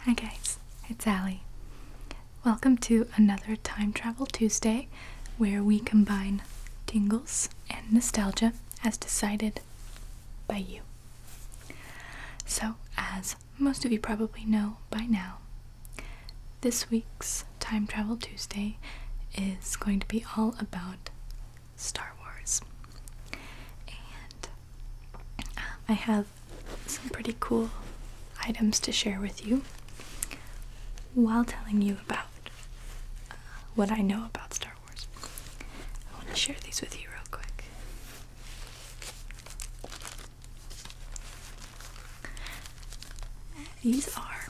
Hi guys, it's Allie. Welcome to another Time Travel Tuesday where we combine tingles and nostalgia as decided by you. So, as most of you probably know by now, this week's Time Travel Tuesday is going to be all about Star Wars. And um, I have some pretty cool items to share with you while telling you about uh, what I know about Star Wars. I want to share these with you real quick. These are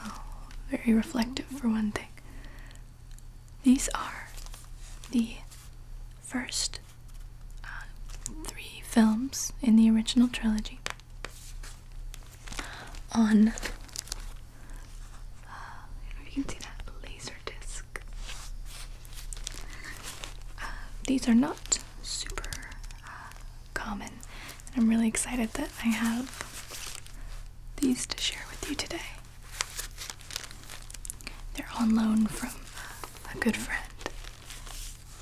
oh, very reflective for one thing. These are the first uh, three films in the original trilogy on uh, if you can see that laser disc. Uh, these are not super uh, common. And I'm really excited that I have these to share with you today. They're on loan from uh, a good friend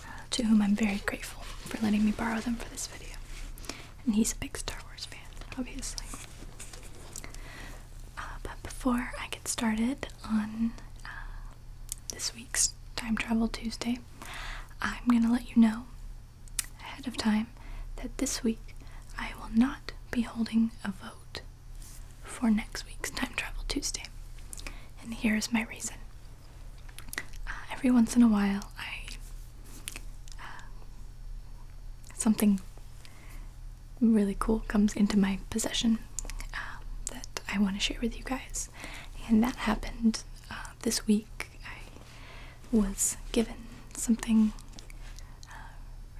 uh, to whom I'm very grateful for letting me borrow them for this video. And he's a big Star Wars fan, obviously. but before I get started on this week's Time Travel Tuesday, I'm going to let you know ahead of time that this week I will not be holding a vote for next week's Time Travel Tuesday. And here is my reason. Uh, every once in a while, I. Uh, something really cool comes into my possession uh, that I want to share with you guys and that happened uh, this week. I was given something uh,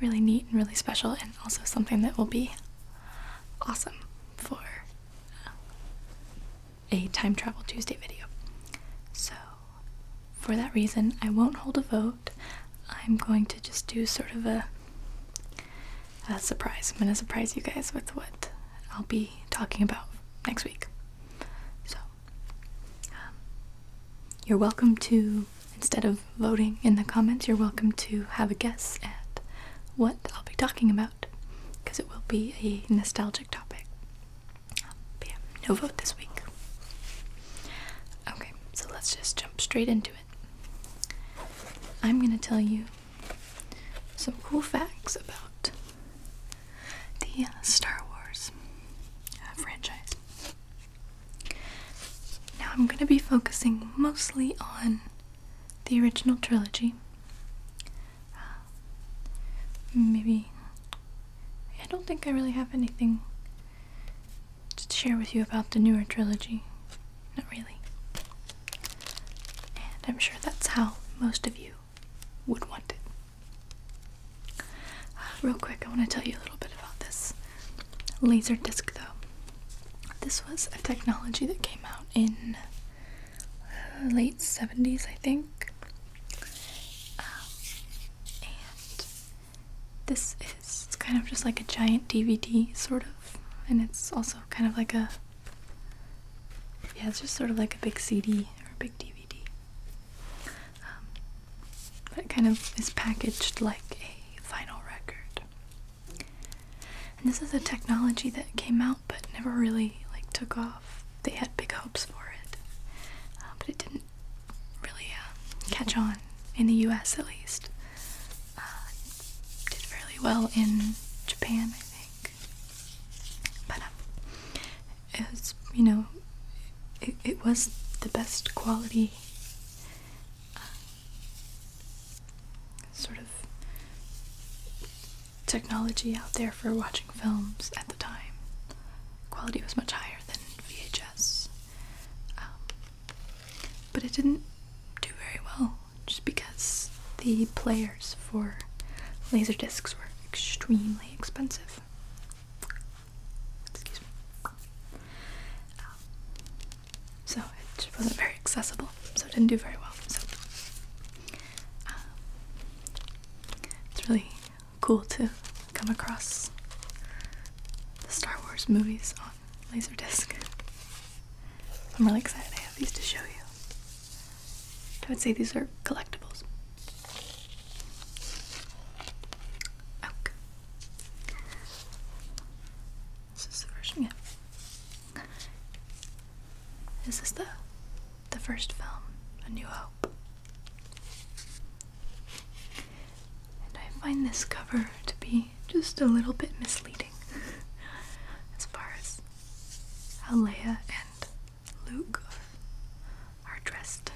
really neat and really special, and also something that will be awesome for uh, a Time Travel Tuesday video. So, for that reason, I won't hold a vote. I'm going to just do sort of a a surprise. I'm gonna surprise you guys with what I'll be talking about next week. So, um, you're welcome to, instead of voting in the comments, you're welcome to have a guess at what I'll be talking about because it will be a nostalgic topic. but yeah, no vote this week. Okay, so let's just jump straight into it. I'm gonna tell you some cool facts about the uh, Star Wars uh, franchise. Now I'm going to be focusing mostly on the original trilogy. Uh, maybe. I don't think I really have anything to share with you about the newer trilogy. Not really. And I'm sure that's how most of you would want it. Uh, real quick, I want to tell you a little bit about this laser disc though. This was a technology that came out in uh, late 70s, I think. Um, and this is kind of just like a giant DVD, sort of, and it's also kind of like a yeah, it's just sort of like a big CD or a big DVD. Um, but kind of is packaged like a vinyl record. And this is a technology that came out but never really like took off. They had big hopes for it, uh, but it didn't really uh, catch on in the U.S. at least. Uh, did fairly well in Japan, I think but um, it was you know it, was the best quality uh, sort of technology out there for watching films at the time quality was much higher than VHS um, but it didn't do very well just because the players for laser discs were extremely expensive. Excuse me. Um, so it wasn't very accessible, so it didn't do very well. So um, it's really cool to come across the Star Wars movies on laser disk I'm really excited I have these to show you. I would say these are collectibles. Okay. This is the first yeah. This is the the first film, A New Hope. And I find this cover to be just a little bit misleading as far as how Leia and Luke are dressed.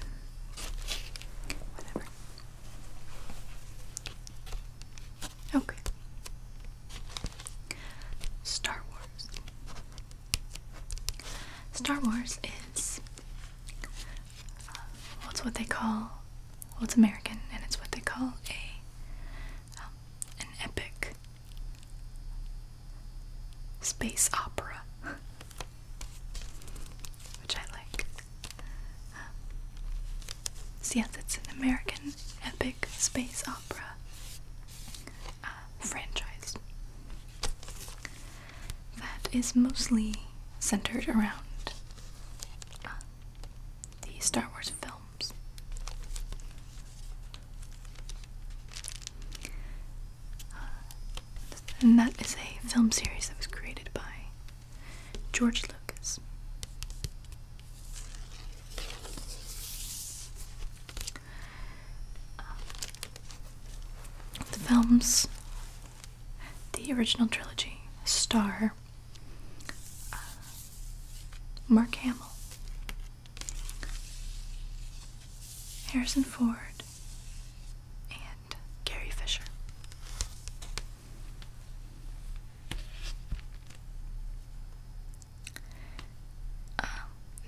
Whatever. Okay. Star Wars. Star Wars is uh, what's what they call well, it's American and it's what they call a um, an epic space opera, which I like. Um, so, yes, it's an American epic space opera uh, franchise that is mostly centered around uh, the Star Wars film. Uh, and that is a film series that was created by George Lucas. Uh, the films, the original trilogy, star uh, Mark Hamill Harrison Ford and Gary Fisher. Uh,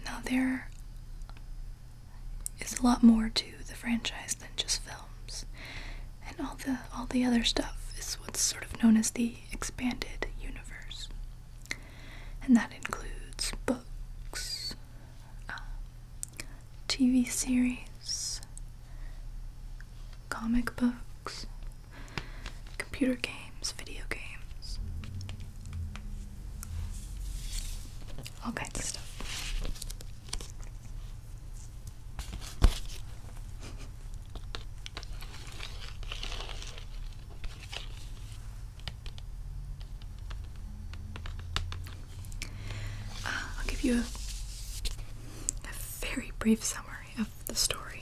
now, there is a lot more to the franchise than just films, and all the all the other stuff is what's sort of known as the expanded universe and that includes books, um, TV series, comic books, computer games, video games, all kinds of stuff. I'll give you a, very brief summary of the story.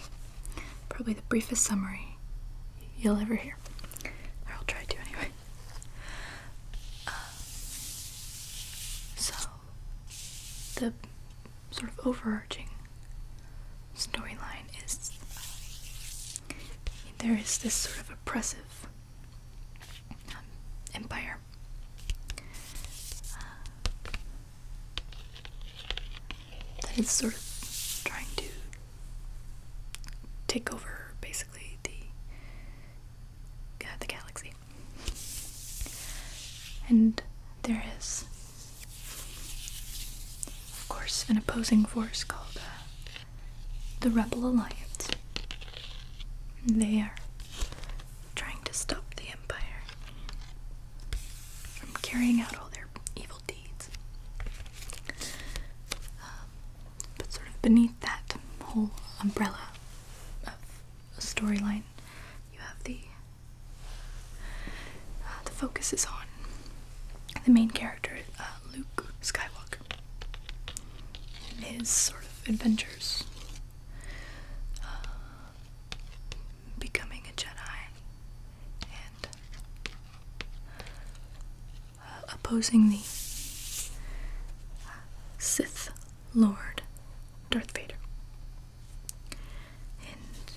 Probably the briefest summary you'll ever hear. Or I'll try to anyway. Uh, so, the sort of overarching storyline is there is this sort of oppressive um, empire. Uh, that is sort of trying to take over basically the uh, the galaxy, and there is, of course, an opposing force called uh, the Rebel Alliance. They are trying to stop the Empire from carrying out all their evil deeds. Um, but sort of beneath that whole umbrella of a storyline, you have the uh, the focus is on the main character, uh, Luke Skywalker his sort of adventures. Uh, becoming a Jedi and uh, opposing the Sith Lord Darth Vader. And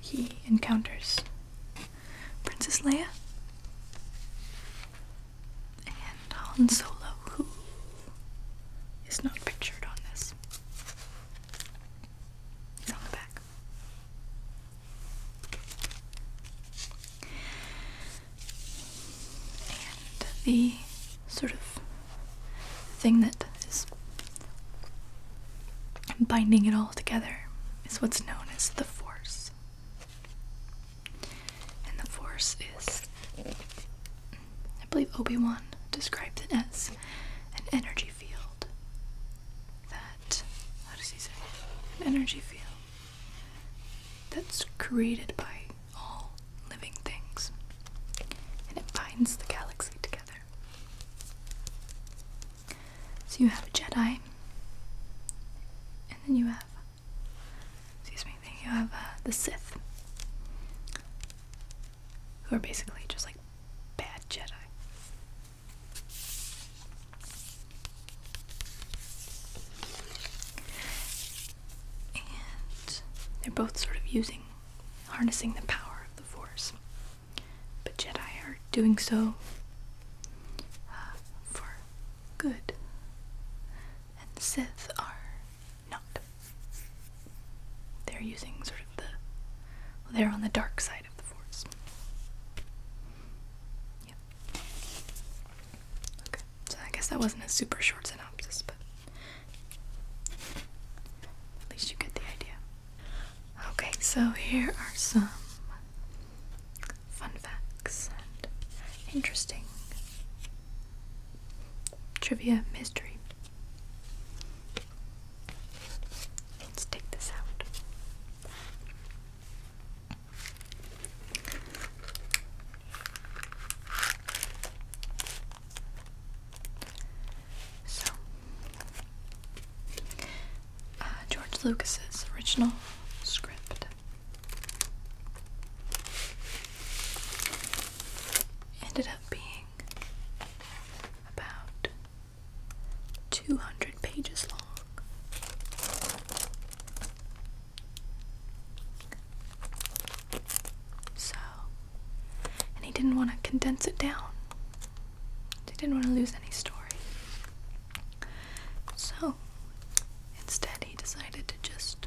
he encounters Princess Leia and Han Solo, who is not pictured on this. He's on the back. And the sort of thing that is binding it all together is what's known as the Force. And the Force is, I believe Obi-Wan described it as an energy field that, how does he say, an energy field that's created by all living things and it binds the galaxy together. So you have a Jedi, and then you have, excuse me, then you have uh, the Sith, who are basically just like bad Jedi. And they're both sort of using, harnessing the power of the Force. But Jedi are doing so uh, for good, and Sith are not. They're using sort of the. they're on the dark side of the Force. Yep. Okay, so I guess that wasn't a super short synopsis, but at least you get the idea. Okay, so here are some fun facts and interesting trivia mystery. Let's take this out. So, uh, George Lucas's original script. Ended up being about 200 pages long. So, and he didn't want to condense it down. He didn't want to lose any story. So instead, he decided to just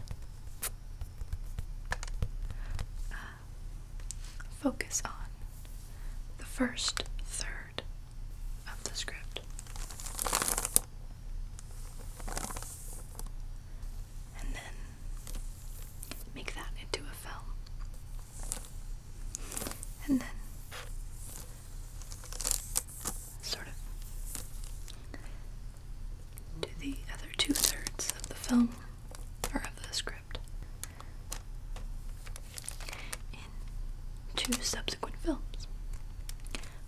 uh, focus on the first third of the script. And then make that into a film. And then sort of do the other two thirds of the film or of the script in two subsequent films,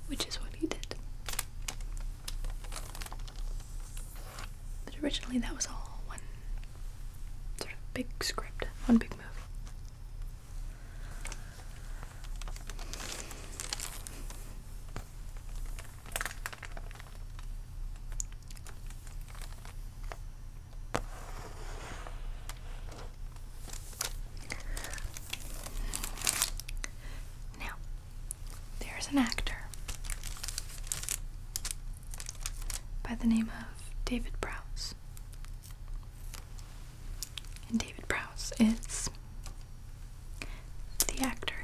which is what he did. But originally, that was all one sort of big script, one big move. Now, there's an actor by the name of David Browse. And David Prowse is the actor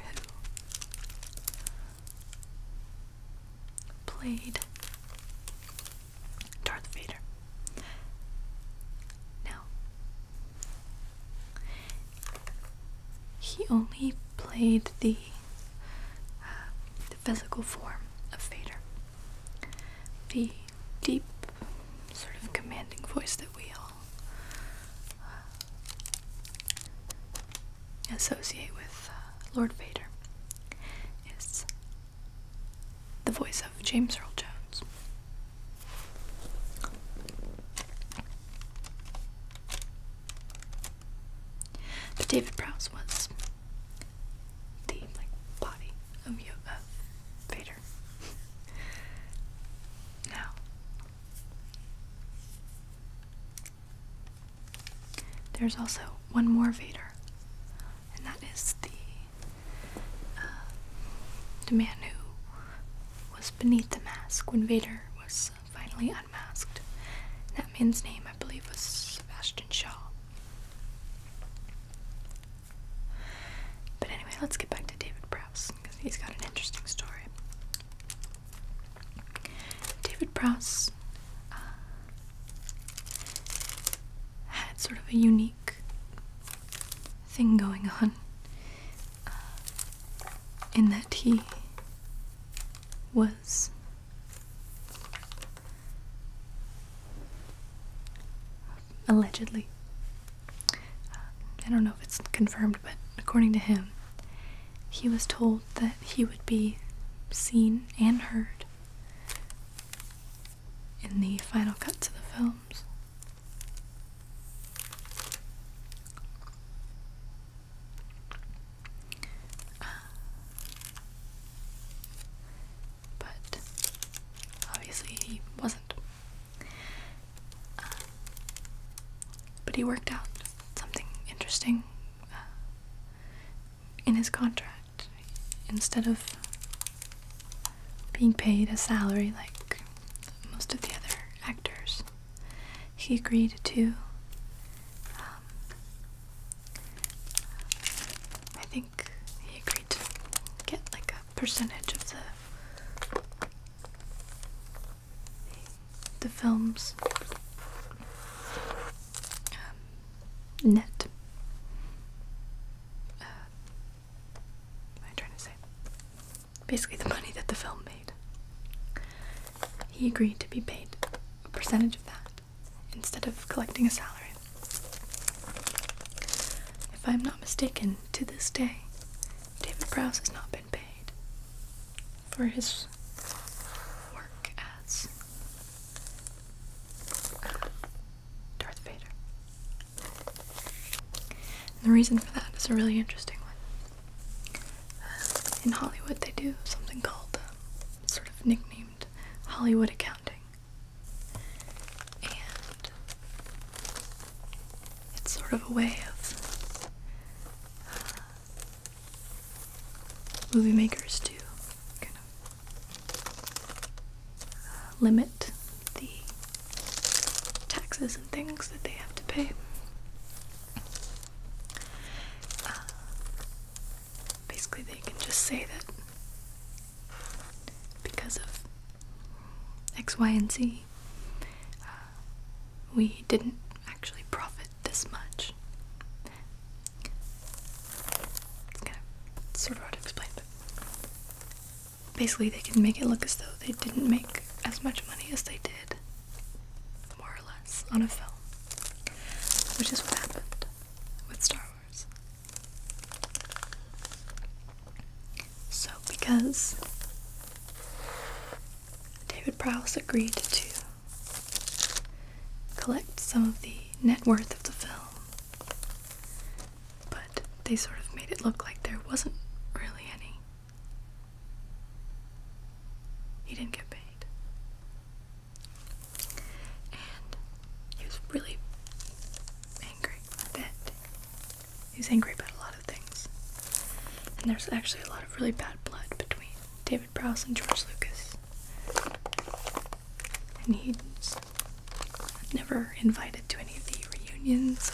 who played Darth Vader. Now, he only played the, uh, the physical form of Vader. The deep, sort of commanding voice that we all uh, associate with uh, Lord Vader is the voice of James Earl Jones. But David Prowse was the body of, of Vader. Now, there's also one more Vader, and that is the uh, the man who was beneath the mask when Vader was finally unmasked. That man's name, I believe, was Sebastian Shaw. But anyway, let's get back to David Brouss. because he's got an interesting story. David Brouss uh, had sort of a unique thing going on uh, in that he was allegedly I don't know if it's confirmed, but according to him, he was told that he would be seen and heard in the final cuts of the films. Uh, but obviously, he wasn't but he worked out something interesting uh, in his contract. Instead of being paid a salary like most of the other actors, he agreed to. Um, I think he agreed to get like percentage of the the film's um, net. Uh, what am I trying to say? Basically, the money that the film made. He agreed to be paid a percentage of that instead of collecting a salary. If I'm not mistaken, to this day, David Prowse has not been paid for his work as Darth Vader. And the reason for that is a really interesting one. in Hollywood, they do something called um, sort of nicknamed Hollywood accounting. And it's sort of a way of uh, movie makers to kind of uh, limit the taxes and things that they have to pay. Uh, basically, they can just say that because of X, Y, and Z, uh, we didn't actually profit this much. It's kind of sort of hard to explain, but basically they can make it look as though they didn't make as much money as they did, more or less, on a film, which is what happened with Star Wars. So, because David Prowse agreed to collect some of the net worth of the film, but they sort of made it look like there wasn't really any. He didn't get paid. And he was really angry about that. He's angry about a lot of things. And there's actually a lot of really bad blood between David Prowse and George Lucas. And he's never invited to any of the reunions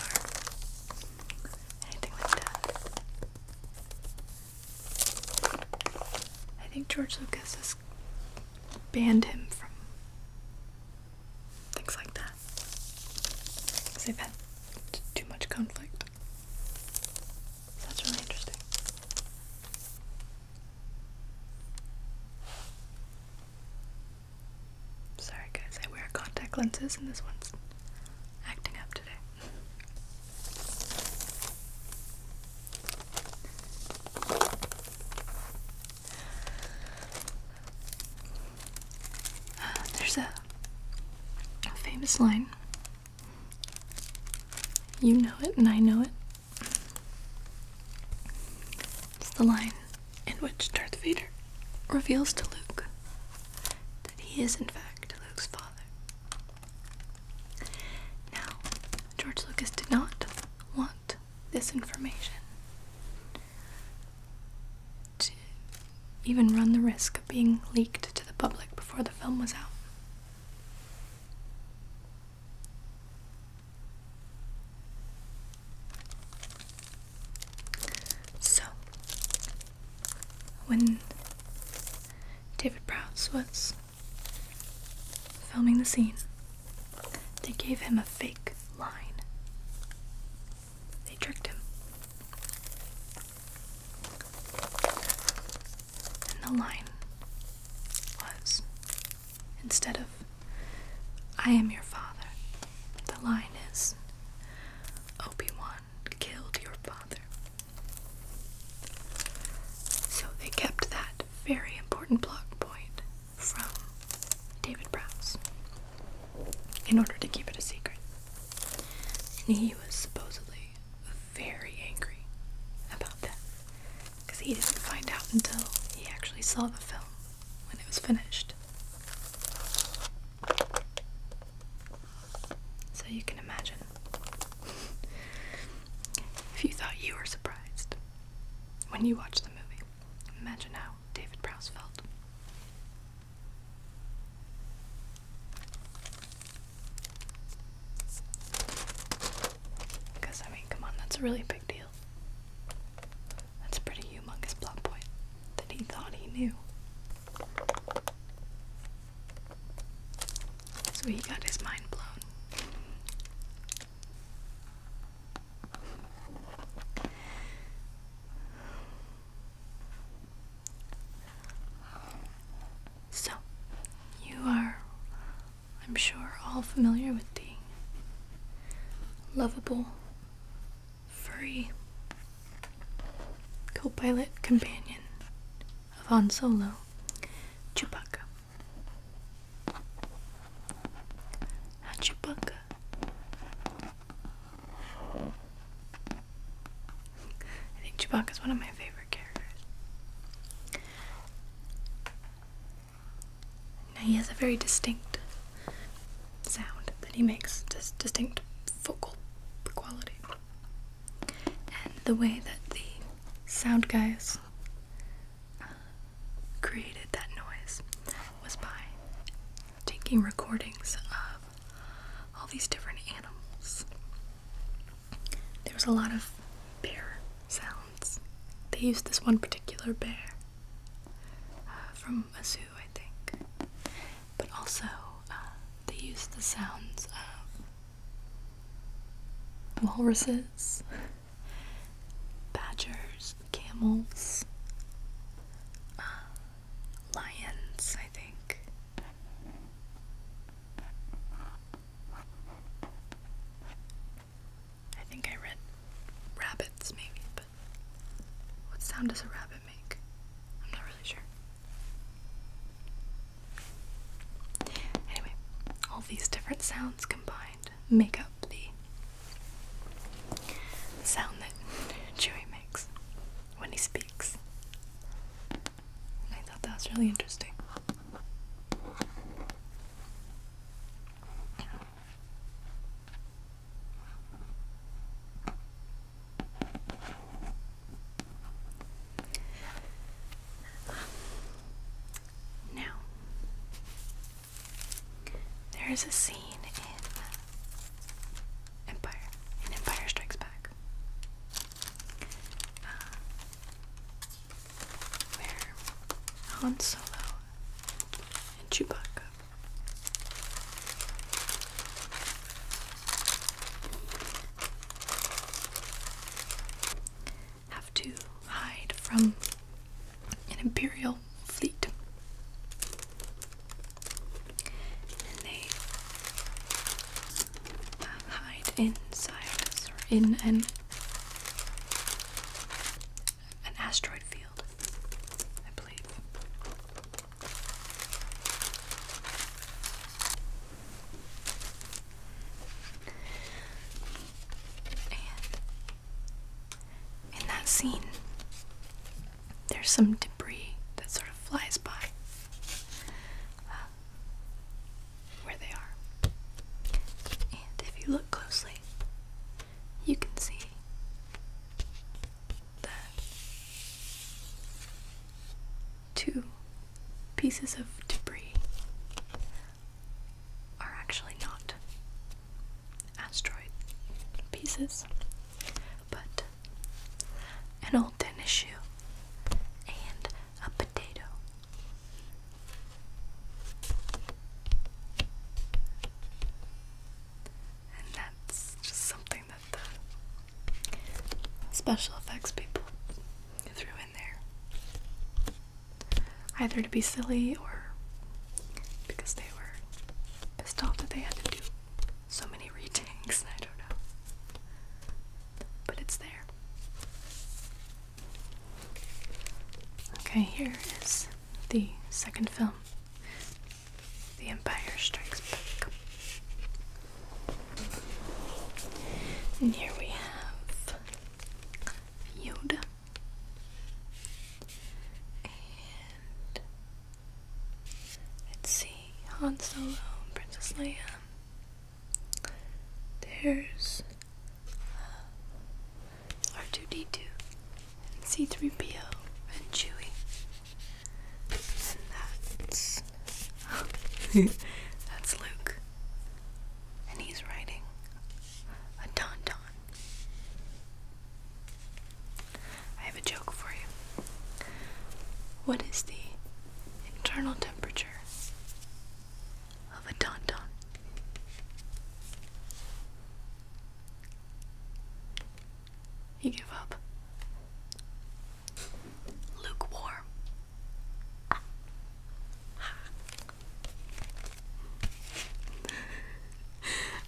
or anything like that. I think George Lucas has banned him from things like that. Because they've had too much conflict. that's really interesting. Sorry guys, I wear contact lenses and this one's acting up today. there's a famous line. You know it, and I know it. It's the line in which Darth Vader reveals to Luke that he is, in fact, Luke's father. Now, George Lucas did not want this information to even run the risk of being leaked to the public before the film was out. So, when David Prowse was filming the scene, they gave him a fake line they tricked him. And the line was instead of, I am your father, the line is, Obi Wan killed your father. So they kept that very important plot point from David Prowse in order to keep it a secret. And he was supposedly very angry about that because he didn't find out until he actually saw the film when it was finished. So you can imagine if you thought you were surprised when you watched the movie. Imagine how David Prowse felt. Because, I mean, come on, that's a really big deal. That's a pretty humongous plot point that he thought he knew. So he got his mind blown. So, you are, I'm sure, all familiar with the lovable, furry co pilot companion of Han Solo, Chewbacca. Now, Chewbacca I think Chewbacca's one of my favorite characters. Now he has a very distinct sound that he makes, this distinct vocal quality. And the way that the sound guys uh, created that noise was by taking recordings of all these different animals. There was a lot of bear sounds. They used this one particular bear uh, from a zoo, I think. But also, uh, they used the sounds of walruses, badgers, camels, uh, lions, I think. I think I read rabbits, maybe, but what sound does a rabbit make? I'm not really sure. Anyway, all these different sounds combined make up the sound that Chewy makes when he speaks. I thought that was really interesting. Now, there is a scene in Empire and Empire Strikes Back. Uh, where Han Solo and Chewbacca have to hide from an Imperial fleet they hide inside, in an an asteroid field, I believe. And in that scene, there's some debris that sort of flies by um, where they are. And if you look closely, you can see that two pieces of debris are actually not asteroid pieces, but an old tennis shoe, and a potato. And that's just something that the special effects people threw in there. Either to be silly or because they were pissed off that they had to do so many retakes, I don't know. But it's there. Okay, here is the second film The Empire Strikes Back. And here we have Yoda. Let's see, Han Solo, Princess Leia. There's uh, R2D2 and C3PO and Chewie. And that's. that's Luke. And he's writing a don don. I have a joke for you. What is the internal temperature of a tauntaun? You give up. Lukewarm.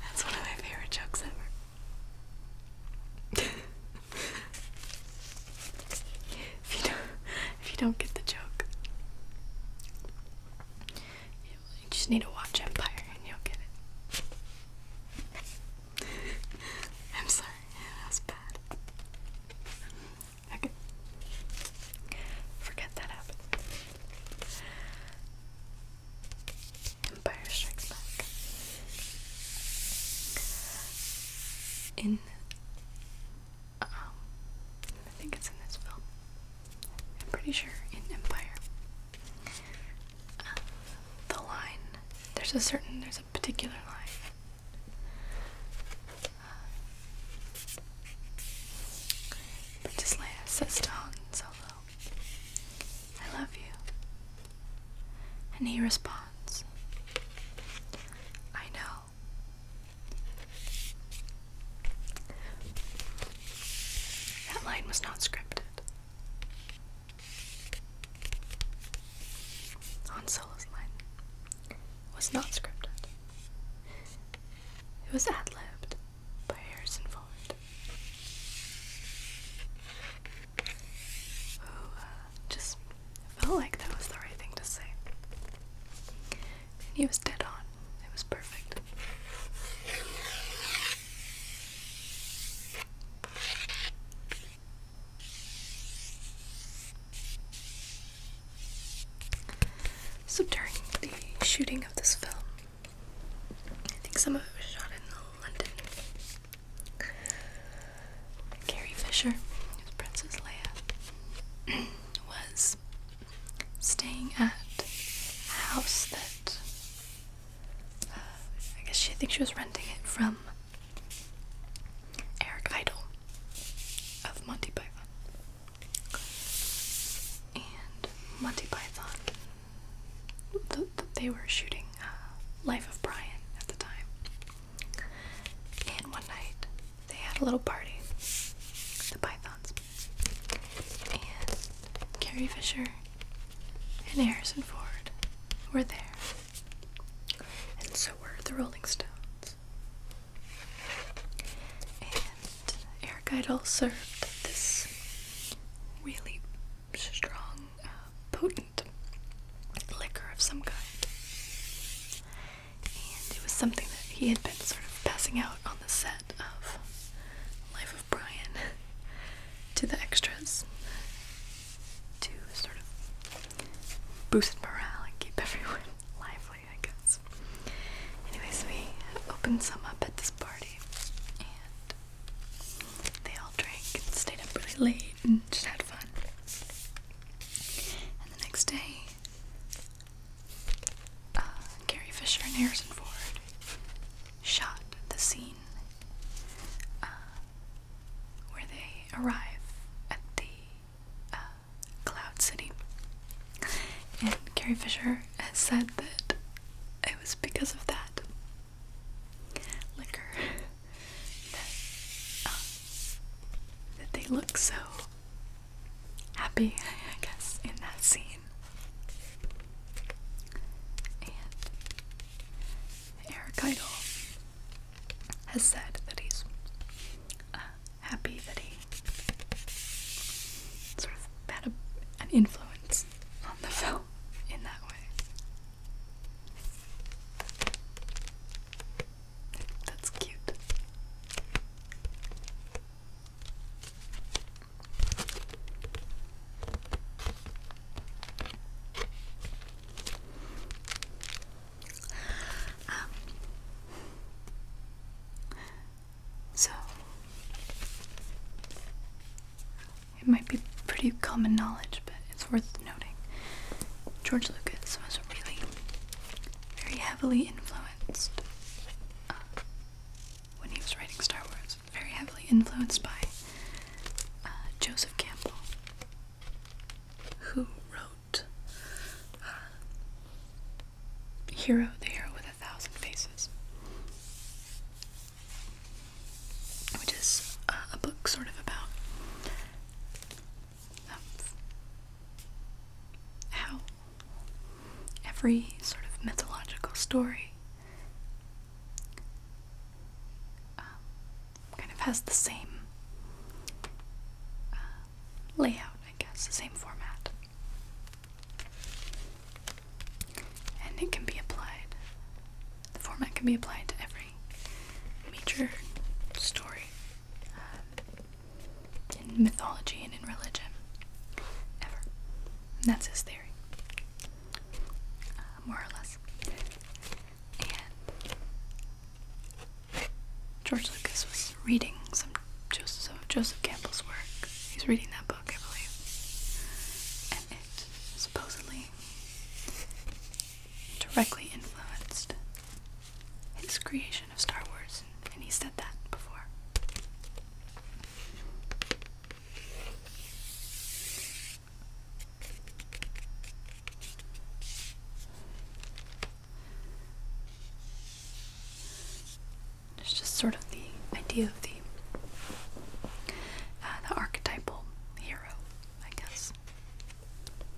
That's one of my favorite jokes ever if you don't if you don't get the joke. You just need to watch Empire and you'll get it. I'm sorry, that was bad. Okay. Forget that happened. Empire Strikes Back. In, um, I think it's in this film. I'm pretty sure in Empire. Uh, the line, there's a certain, there's a particular line. Uh, Princess Leia says to oh, Han Solo, I love you. And he responds, I know. That line was not scripted. Han Solo's line was not scripted. It was ad-libbed by Harrison Ford who oh, uh, just felt like that was the right thing to say. he was dead on. It was perfect. So during the shooting of this film, I think some of it was shot in London. Carrie Fisher, who's Princess Leia, was staying at a house that uh, I guess she I think she was renting it from Eric Idle of Monty Python, and Monty Python. The, they were shooting uh, Life of Brian at the time. And one night they had a little party, the Pythons, and Carrie Fisher and Harrison Ford were there, and so were the Rolling Stones. And Eric Idle served this really strong, uh, potent liquor of some kind. And it was something that he had been sort of passing out on the set of Life of Brian to the extras to sort of boost morale and keep everyone lively, I guess. Anyways, we opened some up at this party and they all drank and stayed up really late and just had fun. And the next day, uh, Gary Fisher and Harrison Ford shot the scene uh, where they arrive at the uh, Cloud City. And Carrie Fisher has said that it was because of that liquor um, that, they look so happy, I guess, in that scene. And Eric Idle has said that he's uh, happy that he sort of had an influence on the film in that way. That's cute. Um, so, it might be pretty common knowledge, but it's worth noting. George Lucas was really very heavily influenced uh, when he was writing Star Wars, very heavily influenced by uh, Joseph Campbell, who wrote uh, Hero, the Hero with a Thousand Faces, which is a book sort of about how every sort of mythological story um, kind of has the same uh, layout, I guess, the same format. And it can be applied the format can be applied to every major story um, in mythology and in religion ever. that's his theory, uh, more or less. And George Lucas was reading some Joseph, Joseph Campbell's work. He's reading that book, I believe. And it supposedly directly influenced his creation of Star Wars, and he said that before. It's just sort of the idea of the uh, the archetypal hero, I guess.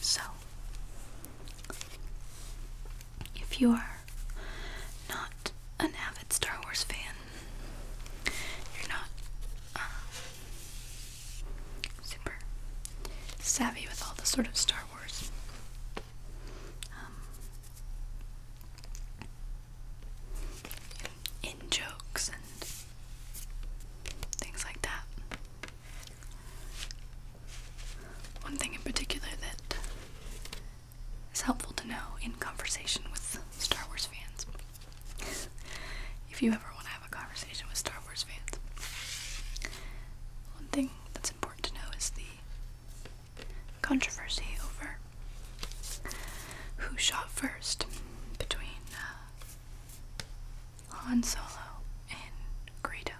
So, if you are not an avid Star Wars fan, you're not uh, super savvy with all the sort of Star um, in jokes and things like that. One thing in particular that is helpful to know in conversation with Star Wars fans. if you ever want to have a conversation with Star Wars fans, one thing that's important to know is the controversy over who shot first between uh, Han Solo and Greedo.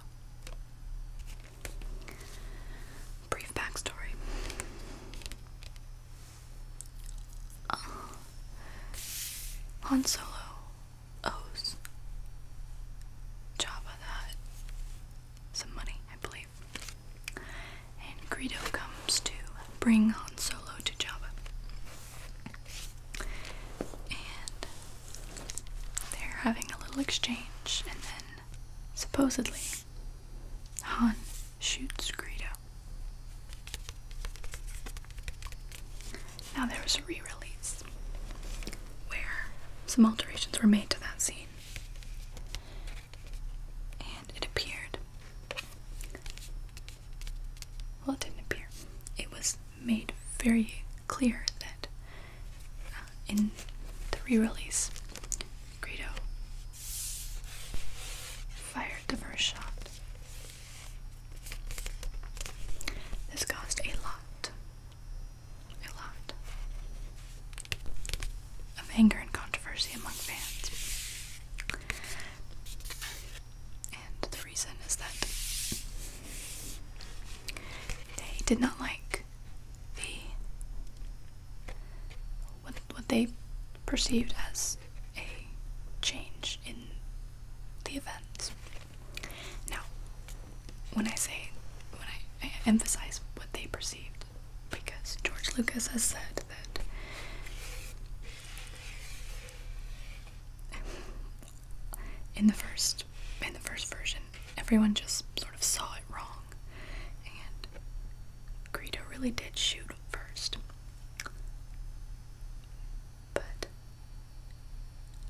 Brief backstory. Uh, Han Solo owes Jabba that some money, I believe. And Greedo comes to bring Han Solo to Jabba. And they're having a little exchange, and then supposedly Han shoots Greedo. Now there was a re release where some alterations were made to that scene. And it appeared. Well, it didn't appear. It was made very clear that uh, in the re release, Greedo fired the first shot. This caused a lot I loved. Of anger and controversy among fans. And the reason is that they did not like the what, what they perceived as a change in the events. Now, when I say, when I, emphasize what they perceived, because George Lucas has said that in the first in the first version, everyone just sort of saw it wrong, and Greedo really did shoot first, but.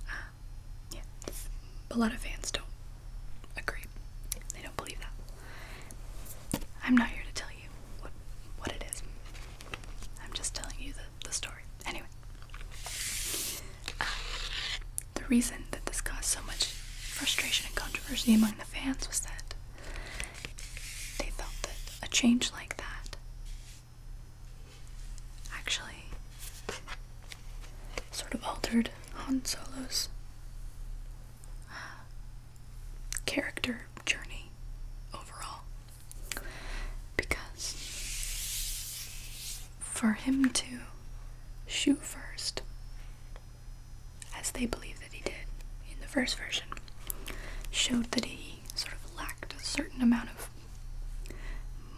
Um, yeah, a lot of fans don't agree. They don't believe that. I'm not here to tell you what what it is. I'm just telling you the the story. Anyway, the reason that this caused so much frustration and controversy among the fans was that they felt that a change like that actually sort of altered Han Solo's uh, character journey overall. Because for him to shoot first, as they believe that he did in the first version, showed that he sort of lacked a certain amount of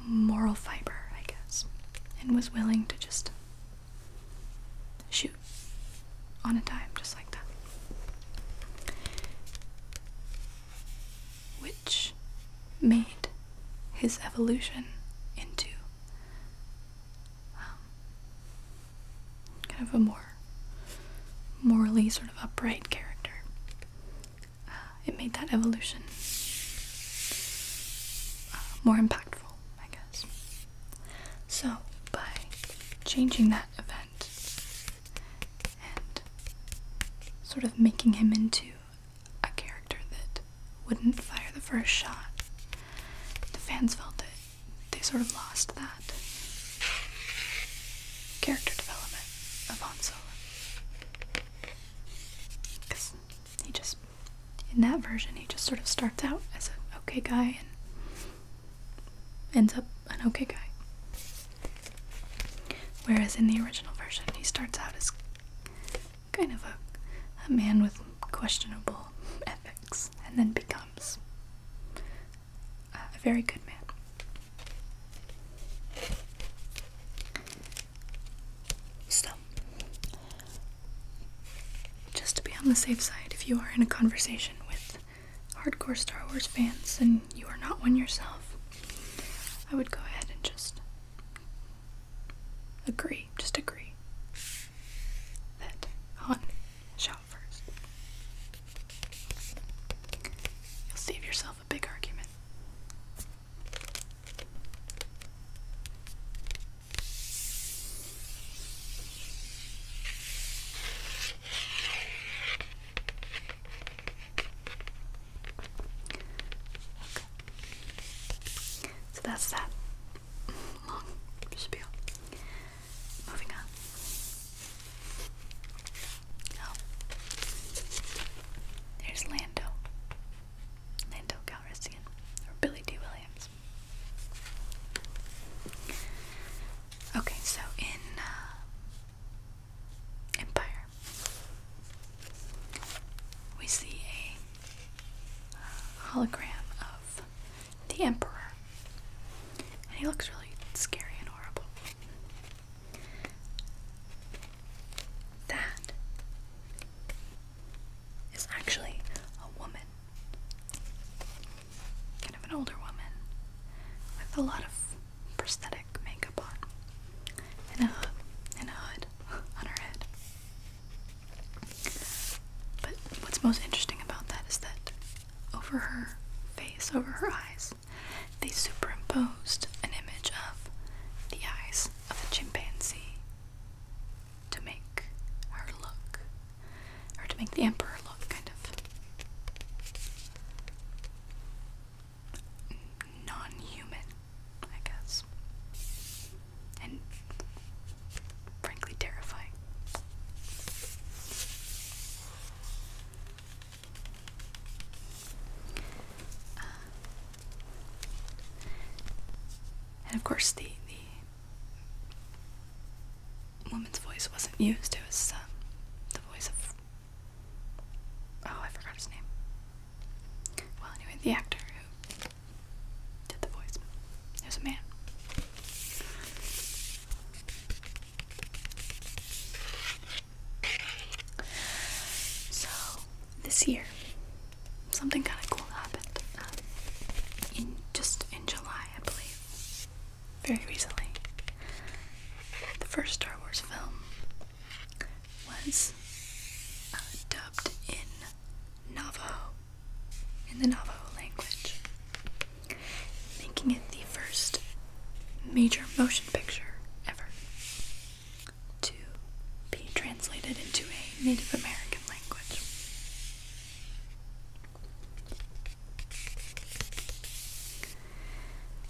moral fiber, I guess, and was willing to just shoot on a dime, just like that. Which made his evolution into um, kind of a more morally sort of upright character. Uh, it made that evolution uh, more impactful. I guess. So, by changing that event and sort of making him into a character that wouldn't fire the first shot, the fans felt that they sort of lost that character development of Han Solo. Because he just in that version, he just sort of starts out as an okay guy and ends up an okay guy. Whereas in the original version, he starts out as kind of a, a man with questionable ethics and then becomes a very good man. So, just to be on the safe side, if you are in a conversation with hardcore Star Wars fans and you are not one yourself, I would go ahead and just agree, just agree that on shout first. You'll save yourself a big argument. So that's that long spiel. Moving on. Oh. There's Lando. Lando Calrissian. Or Billy D. Williams. Okay, so in uh, Empire, we see a uh, hologram of the Emperor, and he looks really scary and horrible. That is actually a woman. Kind of an older woman with a lot of prosthetic makeup on and a, and a hood on her head. But what's most interesting about that is that over her face, over her eyes, they superimposed an image of the eyes of a chimpanzee to make her look, or to make the emperor look, kind of non human, I guess. And frankly, terrifying. Uh, and of course, the, the woman's voice wasn't used. It was um, the voice of. Oh, I forgot his name. Well, anyway, the actor who did the voice. It was a man. So, this year, something kind of cool happened um, in just in July, I believe, very recently. The first Star Wars film was uh, dubbed in Navajo, in the Navajo language, making it the first major motion picture ever to be translated into a Native American language.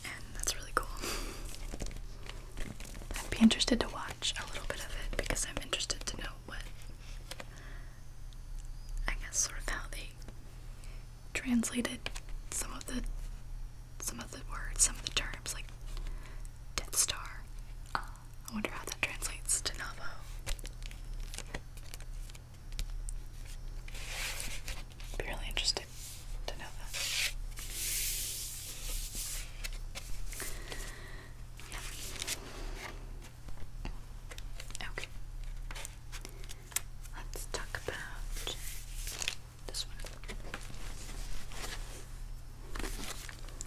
And that's really cool. I'd be interested to watch a little bit of it because I'm interested to know what, I guess, sort of how they translated some of the some of the words, some of the terms, like Death Star, um, I wonder how that translates to Navajo. be really interested to know that. Okay. Let's talk about this one.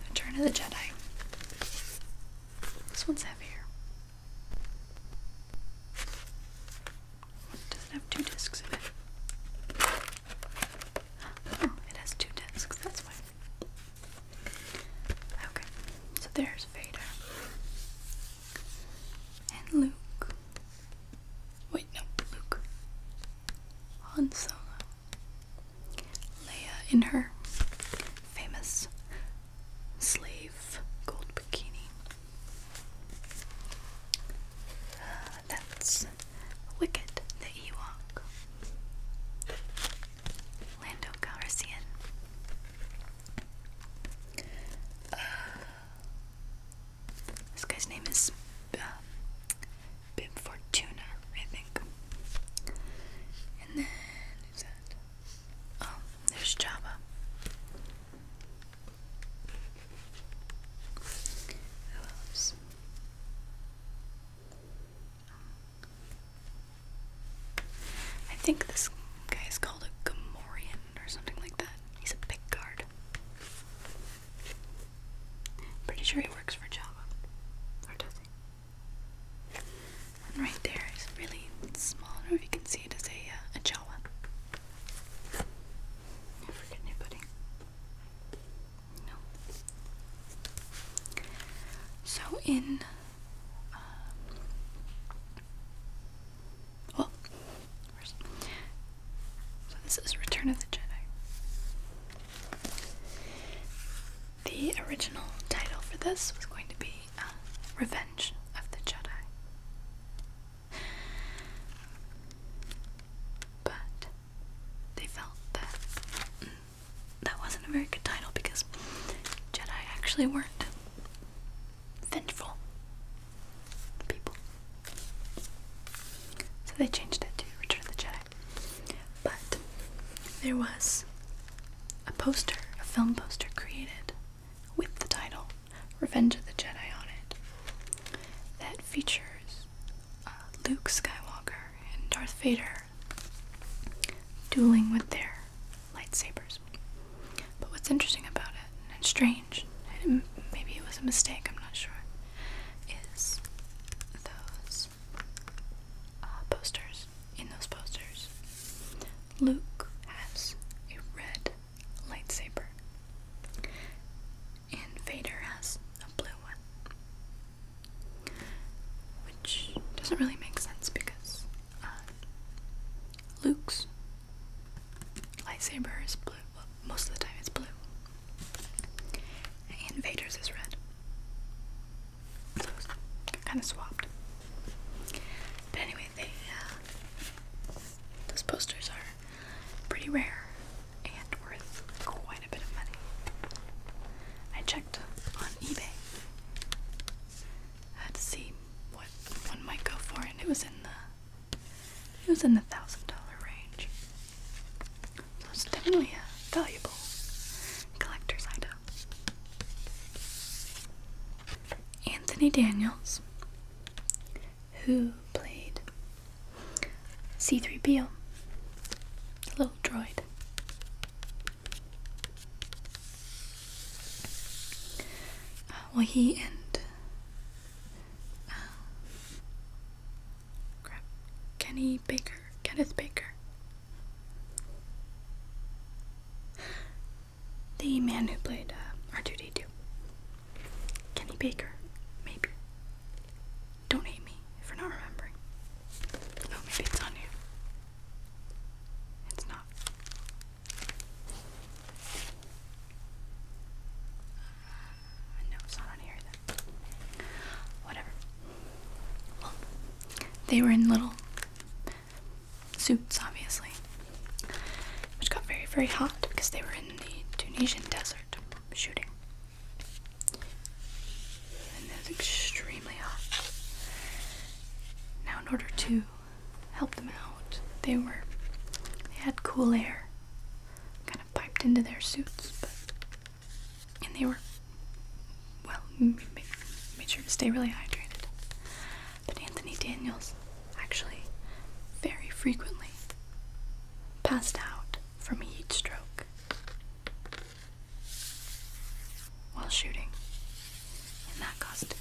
Return of the Jedi. This one's heavier. Does it have two discs in it? Oh, it has two discs, that's why. Okay, so there's Vader. And Luke. Wait, no, Luke. Han Solo. Leia in her famous slave gold bikini. Uh, that's Wicked the Ewok. Lando Calrissian. Uh, this guy's name is um, I think. And then who's that? Oh, there's Java. Who else? I think this guy is called a Gamorrean or something like that. He's a big guard. Pretty sure he works for Java. And right there is really small. I don't know if you can see it as a uh, a Jawa. I forget anybody. No. So in um, well, first, so this is Return of the Jedi. The original title for this was going to be uh, revenge of the Jedi. But they felt that mm, that wasn't a very good title because Jedi actually weren't vengeful people. So they changed it to Return of the Jedi. But there was a poster, a film poster created with the title Revenge of the Jedi on it that features uh, Luke Skywalker and Darth Vader dueling with their lightsabers. But what's interesting about it and strange, and maybe it was a mistake, I'm not sure, is those uh, posters in those posters, Luke has a red lightsaber, and Vader has a blue one, which doesn't really make sense because uh, Luke's lightsaber is blue. most of the time, it's blue, and Vader's is red. So kind of swapped. But anyway, they, uh, those posters are pretty rare and worth quite a bit of money. I checked on eBay uh, to see what one might go for, and it was in the it was in the thousand dollar range. So it's definitely a valuable collector's item. Anthony Daniels, who played C3PO, little droid. Uh, well, he and uh, Kenny Baker, Kenneth Baker the man who played uh, R2D2. Kenny Baker, maybe. Don't hate me for not remembering. Oh, maybe it's on you. It's not. Uh, no, it's not on here either. Whatever. Well, they were in little suits, obviously, which got very, very hot because they were in the Tunisian desert shooting. And it was extremely hot. Now, in order to help them out, they were they had cool air kind of piped into their suits, and they were well, made sure to stay really hydrated. But Anthony Daniels actually very frequently passed out from a heat stroke while shooting And that cost.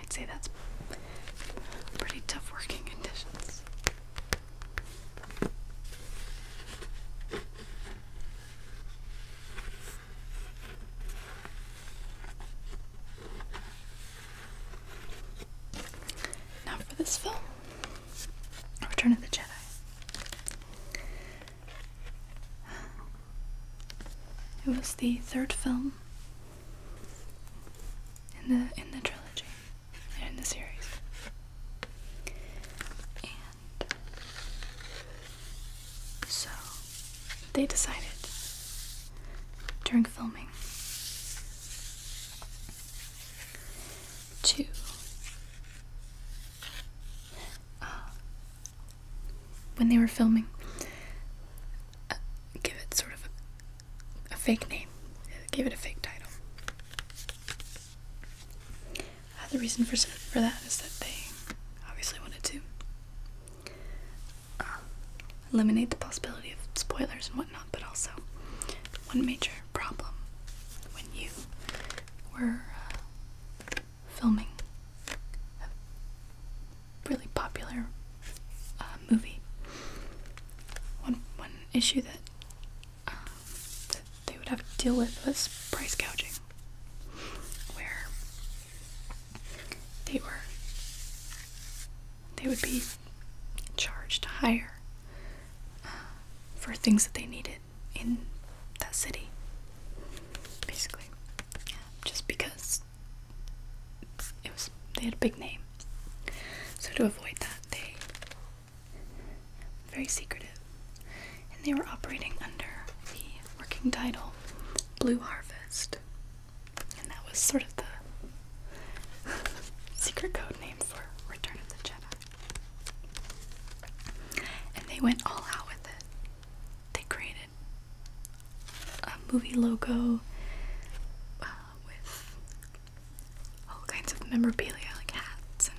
I'd say that's pretty tough working conditions. Now for this film, Return of the Jedi. It was the third film in the in the trilogy in the series. And so they decided during filming to uh, when they were filming uh, give it sort of a fake name. Give it a fake title. Uh, the reason for for that is that they obviously wanted to uh, eliminate the possibility of spoilers and whatnot, but also one major problem when you were uh, filming a really popular movie. One one issue that um, they would have to deal with price gouging, where they were they would be charged higher uh, for things that they needed in that city, basically, just because it was they had a big name. So to avoid that, they very secretive. And they were operating under the working title Blue Harvest. And that was sort of the secret code name for Return of the Jedi. And they went all out with it. They created a movie logo uh, with all kinds of memorabilia like hats and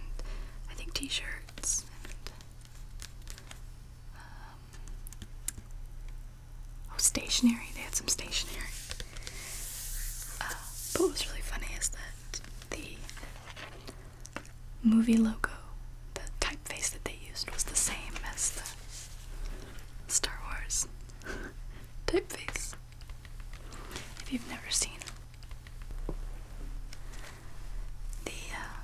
I think t-shirts um, oh stationery they had some stationery uh, but what was really funny is that the movie logo the typeface that they used was the same as the Star Wars typeface if you've never seen the uh,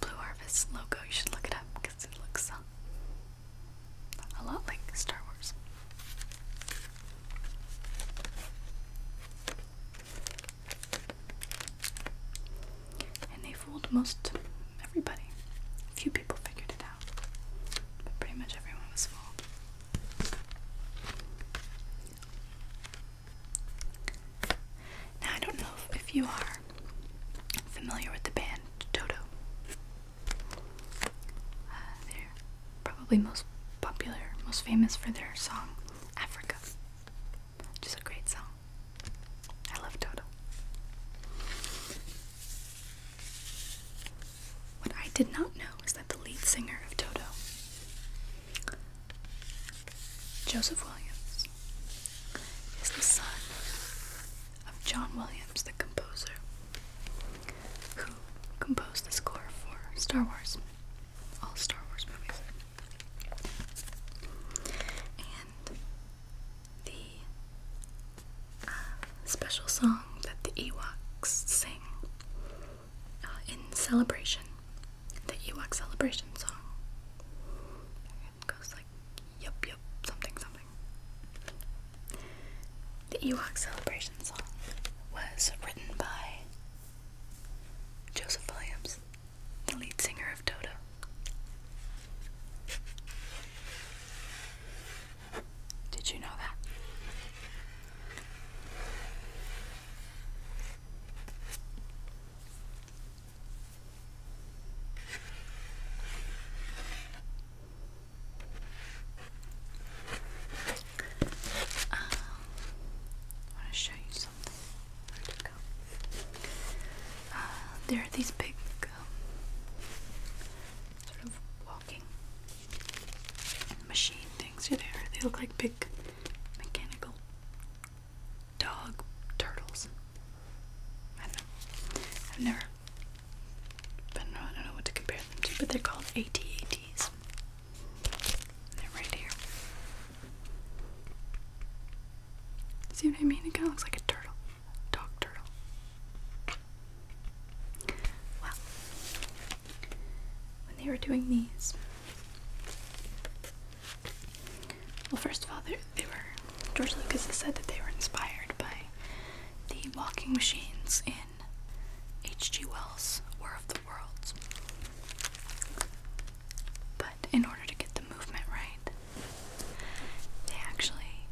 Blue Harvest logo, you should look it up because it looks uh, a lot like Star Wars. And they fooled most everybody. A few people figured it out, but pretty much everyone was fooled. Now, I don't know if you are familiar with the band Toto. Uh, they're probably most popular, most famous for their song Africa, which is a great song. I love Toto. What I did not know is that the lead singer of Toto, Joseph Williams, is the son of John Williams, the composer, who composed the score for Star Wars, all Star Wars movies. And the uh, special song that the Ewoks sing uh, in Celebration, the Ewok Celebration song. goes like, yup, yup, something, something. The Ewok Celebration song was written by Joseph Williams, the lead singer of Dodo. Did you know that? Um, I want to show you something. Where did go? Uh, there are these big um, sort of walking machine things are there. They look like big mechanical dog turtles. I have never but I don't know what to compare them to, but they're called ATATs. They're right here. See what I mean? It kind of looks like a turtle. Dog turtle. Wow. When they were doing these, well, first of all, they, were George Lucas has said that they were inspired by the walking machines in H.G. Wells' War of the Worlds. But in order to get the movement right, they actually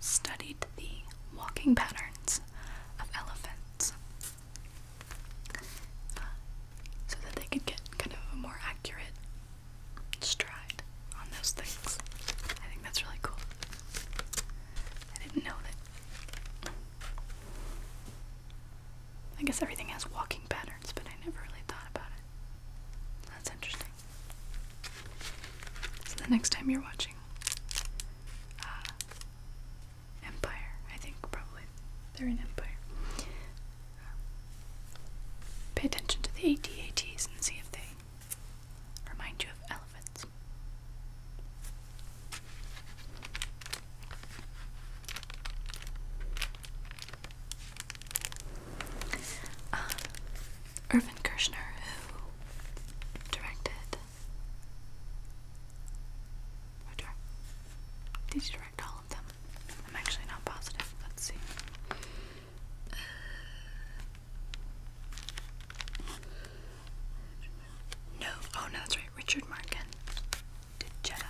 studied the walking patterns of elephants so that they could get kind of a more accurate stride on those things. I think that's really cool. I didn't know that. I guess everything has walking patterns, but I never really thought about it. That's interesting. So the next time you're watching uh, empire. I think probably they're an empire. Um, pay attention to the ATATs and see if they remind you of elephants. Um, Irvin who directed or direct? Did you direct all of them? I'm actually not positive. Let's see. no. Oh, no, that's right. Richard Markin did Jedi.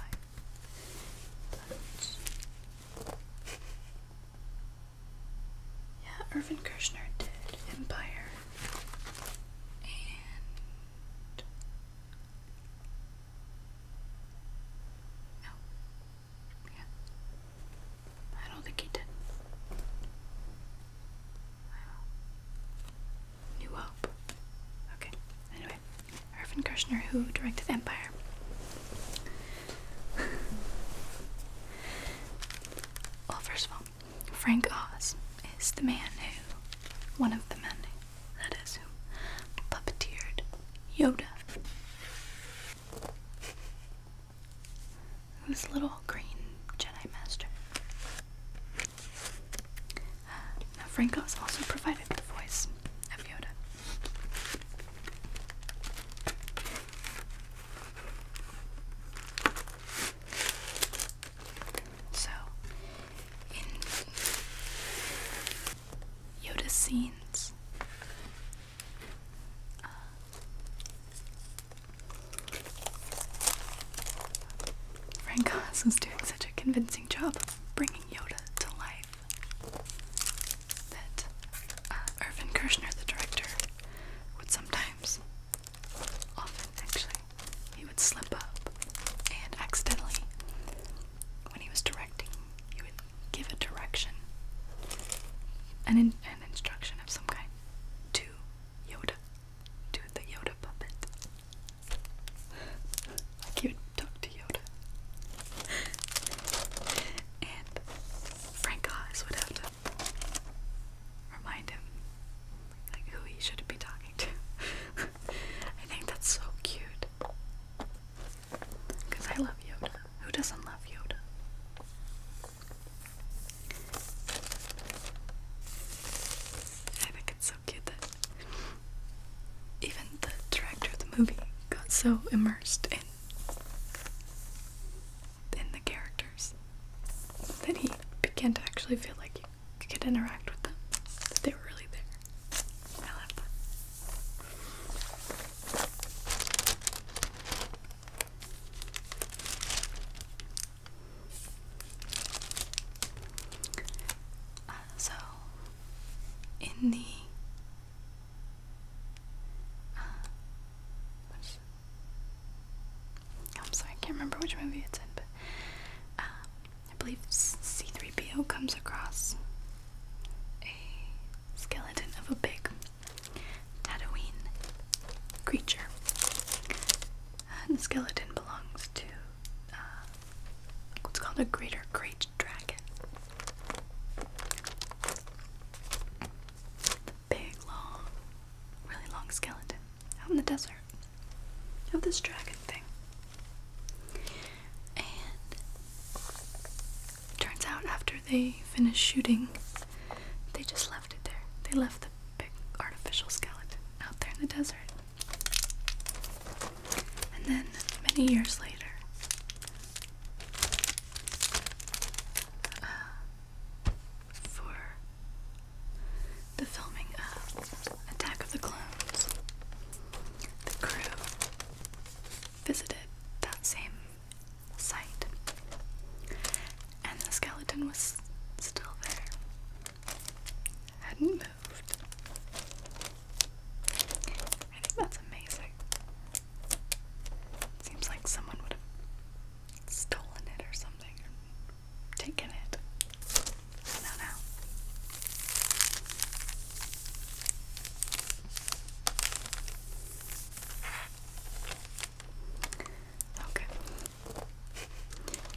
yeah, Irvin Kershner did Empire. No. Yeah. I don't think he did. New Hope. Okay. Anyway, Irvin Kershner, who directed Empire. well, first of all, Frank Oz is the man who, one of the men that is who puppeteered Yoda. this little green Jedi Master? Uh, now Franco's also provided the voice of Yoda. So, in Yoda scenes, uh, Frank Oz was doing such a convincing job bringing Yoda to life that uh, Irvin Kershner, the director, would sometimes, often actually, he would slip up and accidentally, when he was directing, he would give a direction, an, an instruction of some kind to Yoda, to the Yoda puppet. he would talk to Yoda. and Frank Oz would have to remind him like who he should be talking I think that's so cute. Because I love Yoda. Who doesn't love Yoda? I think it's so cute that even the director of the movie got so immersed in in the characters that he began to actually feel like he could interact with them. That they were really there. I love that. Uh, so, in the uh, I'm sorry, I can't remember which movie it's in, but um, I believe C3PO comes across a skeleton of a big Tatooine creature. And uh, the skeleton belongs to uh, what's called a greater great dragon. big, long, really long skeleton out in the desert of this dragon thing. And turns out after they finished shooting, they just left it there. They left the big artificial skeleton out there in the desert. And then many years later, uh, for the filming of Attack of the Clones, the crew visited that same site, and the skeleton was still there, hadn't moved. I think that's amazing. Seems like someone would have stolen it or something, taken it. No, no.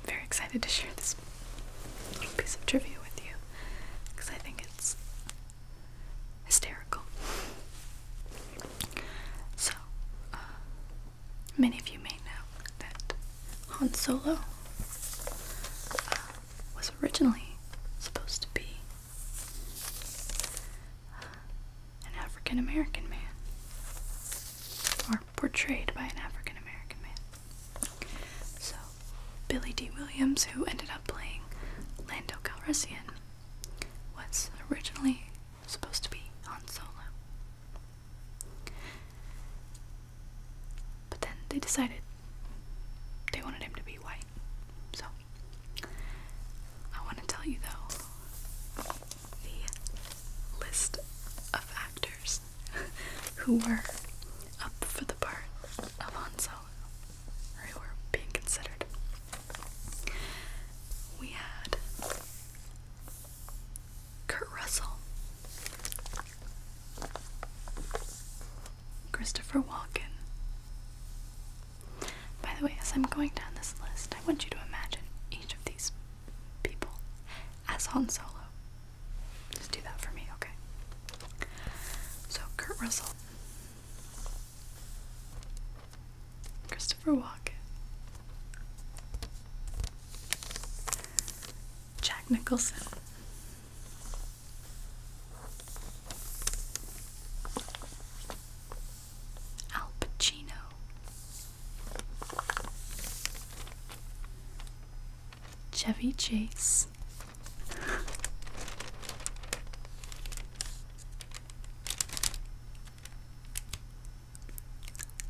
Very excited to share this little piece of trivia with you because I think it's hysterical. So, uh, many of you may know that Han Solo uh, was originally supposed to be uh, an African American man, or portrayed by an African American man. So, Billy D. Williams, who ended up playing Lando Calrissian, was originally supposed to be Han Solo. But then they decided they wanted him to be white. So, I want to tell you though the list of actors who were up for the part of Han who were being considered. We had Kurt Russell, Christopher Walken. By the way, as I'm going down this list, I want you to imagine each of these people as Han Solo. Just do that for me, okay? So, Kurt Russell, Christopher Walken, Jack Nicholson, Al Pacino. Chevy Chase.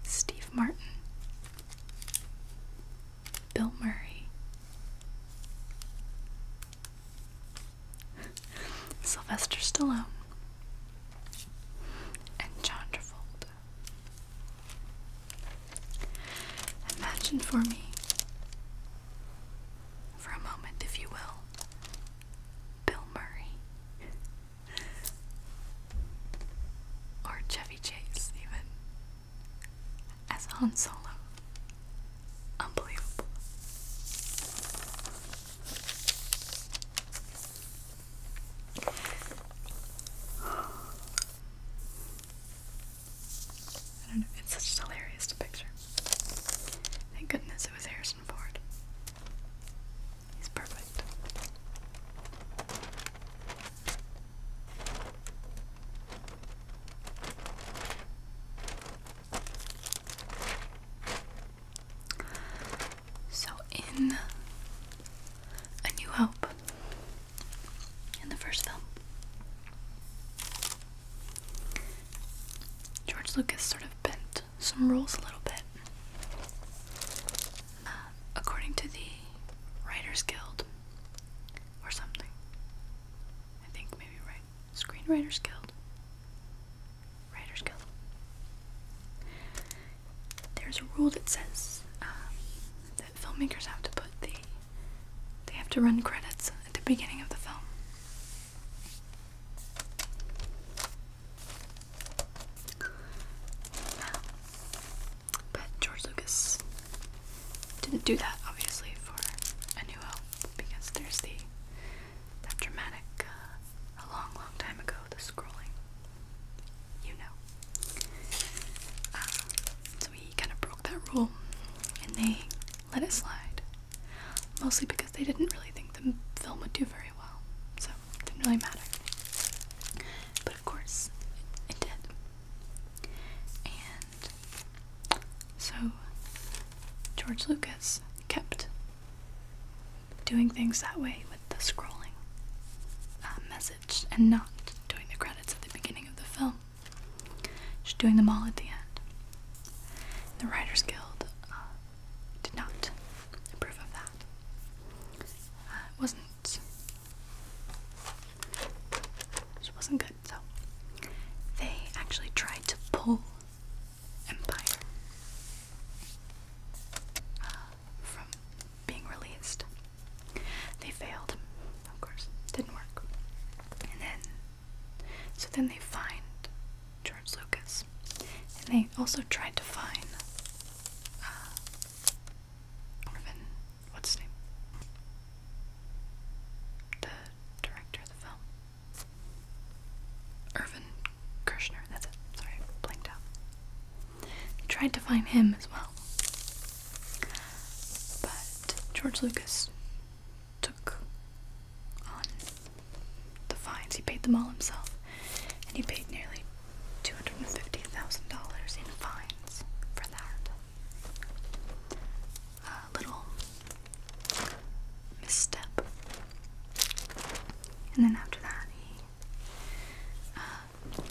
Steve Martin, Bill Murray. Sylvester Stallone and John Travolta. Imagine for me, for a moment, if you will, Bill Murray or Chevy Chase, even as Han Solo. Unbelievable. I don't know, it's such a hilarious picture. Thank goodness it was Harrison Ford. He's perfect. So, in A New Hope, in the first film, George Lucas sort of bent some rules a little bit. Uh, according to the Writers Guild, or something, I think maybe right. Screenwriters Guild. Writers Guild. There's a rule that says um, that filmmakers have to put the. They have to run credits at the beginning of the film. But George Lucas didn't do that obviously for A New Hope because there's the that dramatic uh, a long, long time ago the scrolling. You know. Uh, so we kind of broke that rule, and they let it slide, mostly because they didn't really think the film would do very well, so didn't really matter. But of course, it did. And so George Lucas kept doing things that way with the scrolling uh, message and not doing the credits at the beginning of the film, just doing them all at the end. The Writers Guild uh, did not approve of that. Uh, it wasn't. It wasn't good. So they actually tried to pull Empire uh, from being released. They failed, of course, didn't work. And then, so then they find George Lucas. And they also tried to find uh, what's his name? The director of the film. Irvin Kershner, that's it. Sorry, blanked out. tried to find him as well. But George Lucas took on the fines. He paid them all himself. And he paid nearly $250,000 in fines for that uh, little misstep. And then after that, uh,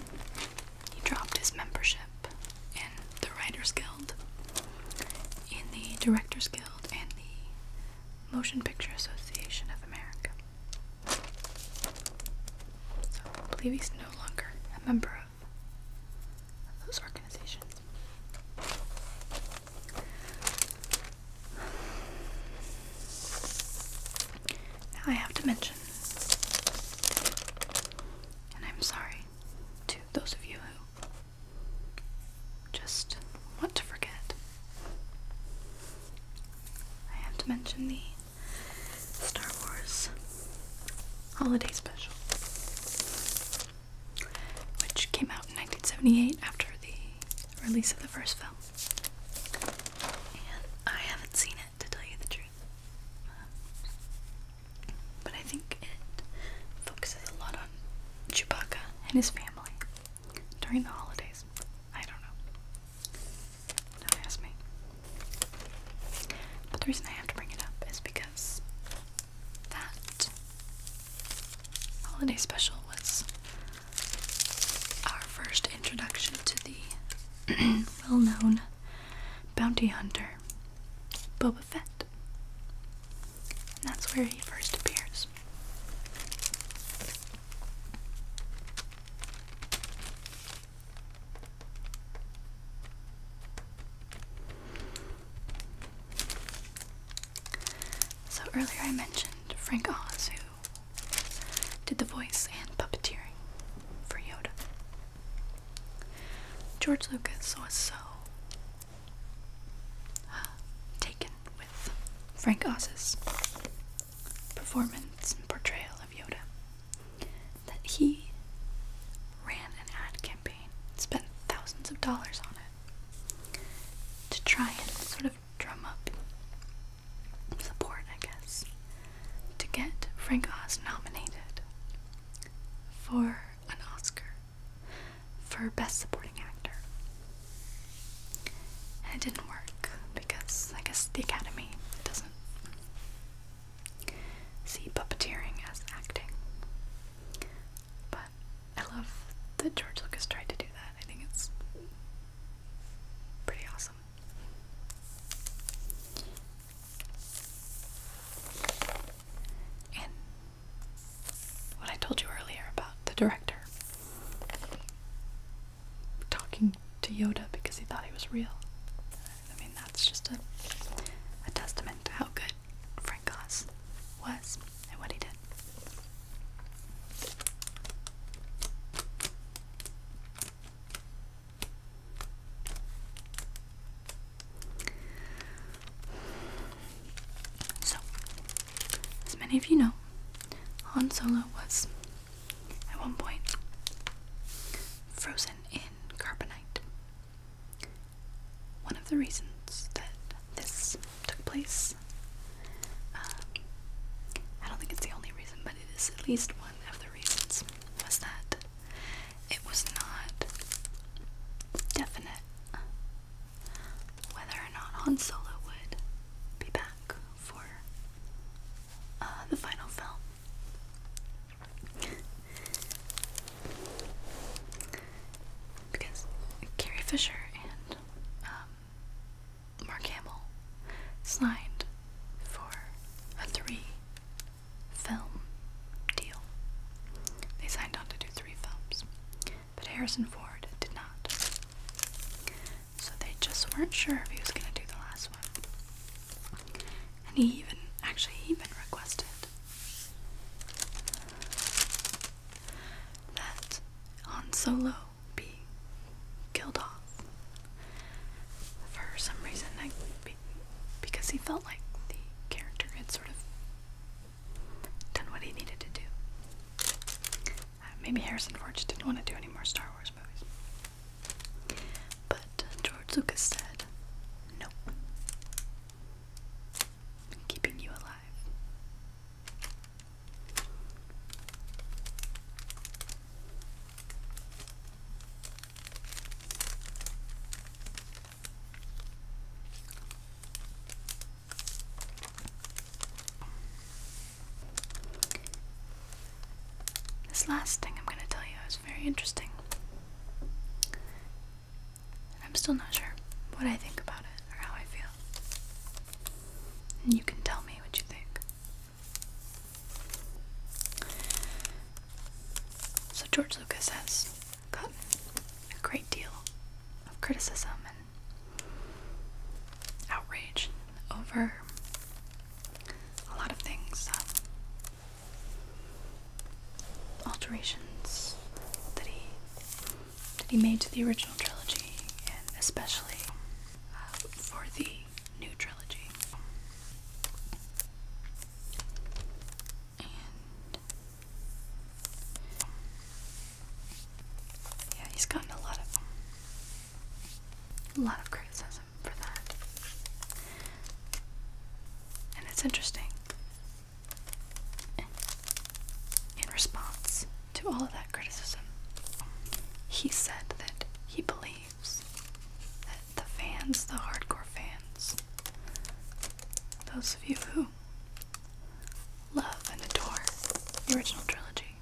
he dropped his membership in the Writers Guild, in the Directors Guild, and the Motion Picture Association of America. So I believe he's no longer a member of those organizations. I have to mention, and I'm sorry to those of you who just want to forget, I have to mention the Star Wars Holiday Special which came out in 1978 after the release of the first film. And I haven't seen it to tell you the truth. but I think it focuses a lot on Chewbacca and his family during the holidays. I don't know. Don't ask me. But the reason I have to bring it up is because that holiday special was our first introduction to the well known bounty hunter Boba Fett. And that's where he first appears. So earlier I mentioned Frank Oz, who did the voice and puppeteering for Yoda. George Lucas was so uh, taken with Frank Oz's performance and portrayal of Yoda that he ran an ad campaign campaign, spent thousands of dollars on it to try and sort of drum up support, I guess, to get Frank Oz nominated for an Oscar for Best Supporting Actor. And it didn't work because I guess the Academy doesn't see puppeteering as acting. But I love that George Lucas tried to do that. I think it's pretty awesome. And what I told you earlier about the director talking to Yoda because he thought he was real. I mean, that's just a, a testament to how good good Frank Oz was and what he did. So, as many of you know, Han Solo was at one point frozen in carbonite. One of the reasons that this took place, um, I don't think it's the only reason, but it is at least one of the reasons, was that it was not definite whether or not Han Solo would be back for uh, the final film. Because Carrie Fisher and um, Mark Hamill signed for a three film deal. They signed on to do three films, but Harrison Ford did not. So they just weren't sure if he was going to do the last one. And he even, actually, he even requested that Han Solo be killed off. For some reason, I, because he felt like the character had sort of done what he needed to do. Uh, maybe Harrison Ford just didn't want to do any more Star Wars movies. But George Lucas said, nope. Keeping you alive this last thing I'm going to tell you is very interesting. I'm still not sure what I think about it or how I feel. And you can tell me what you think. So, George Lucas has gotten a great deal of criticism and outrage over a lot of things um, alterations that he that he made to the original trilogy, and especially uh, for the new trilogy. And yeah, he's gotten a lot of a lot of criticism for that. And it's interesting in response to all of that criticism, he said that he believes that the fans, the hardcore fans, those of you who love and adore the original trilogy,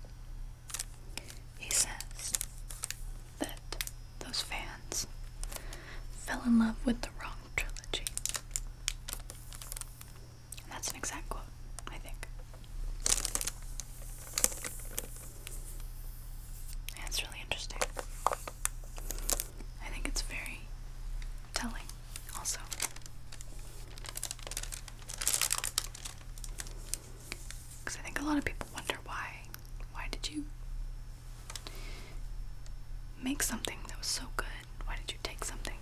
he says that those fans fell in love with the wrong trilogy that's an exact quote, I think. That's really interesting. I think it's very telling, also. Because I think a lot of people wonder why. Why did you make something that was so good why did you take something?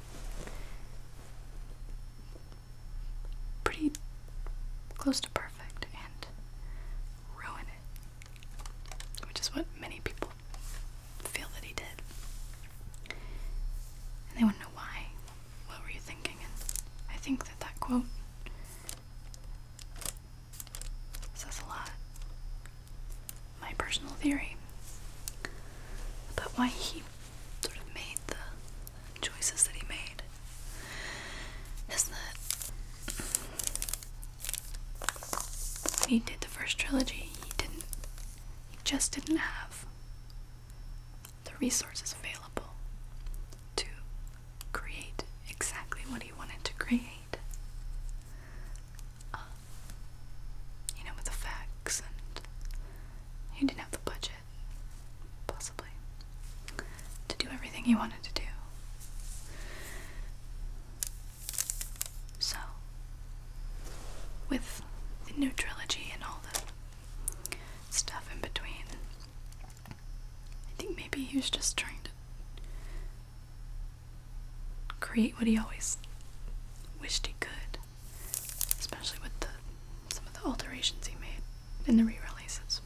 Pretty close to perfect and ruin it, which is what many people feel that he did. And they want to know why. What were you thinking? And I think that that quote says a lot my personal theory but why he sort of made the choices that he made is that when he did the first trilogy, he didn't, he just didn't have the resources available to create exactly what he wanted to create. Oh. you know, with effects, and he didn't have the budget, possibly, to do everything he wanted to do. So, with the new trilogy and all the stuff in between, I think maybe he was just trying to create what he always wished he could especially with some of the alterations he made in the re-releases.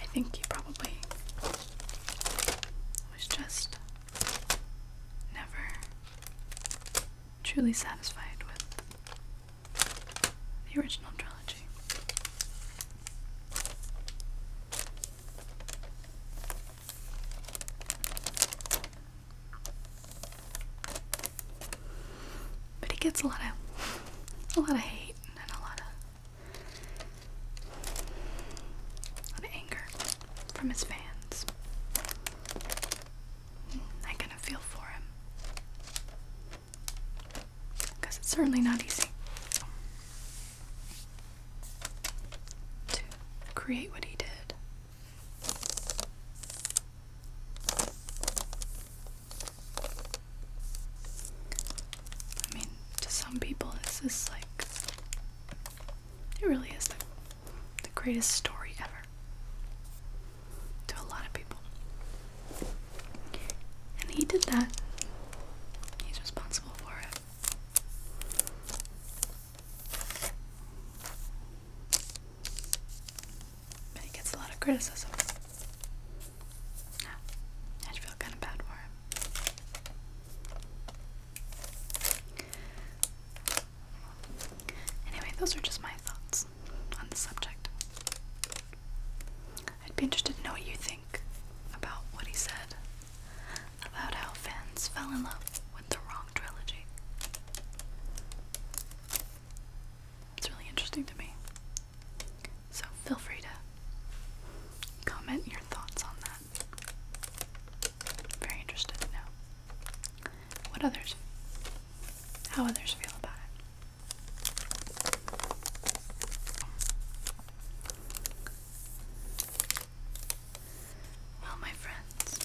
I think he probably was just never truly satisfied with the original trilogy. But he gets a lot of a lot of hate and a lot of a lot of anger from his fans. Mm, I kind of feel for him because it's certainly not easy to create what he did. I mean, to some people, this is like it really is the, greatest story ever to a lot of people. And he did that. He's responsible for it he gets a lot of criticism. Yeah, I feel kind of bad for him. Anyway, those are just my thoughts on the subject. I'd be interested to know what you think about what he said about how fans fell in love with the wrong trilogy. It's really interesting to me. So feel free to comment your thoughts on that. very interested to what others, how others feel about it. Well, my friends,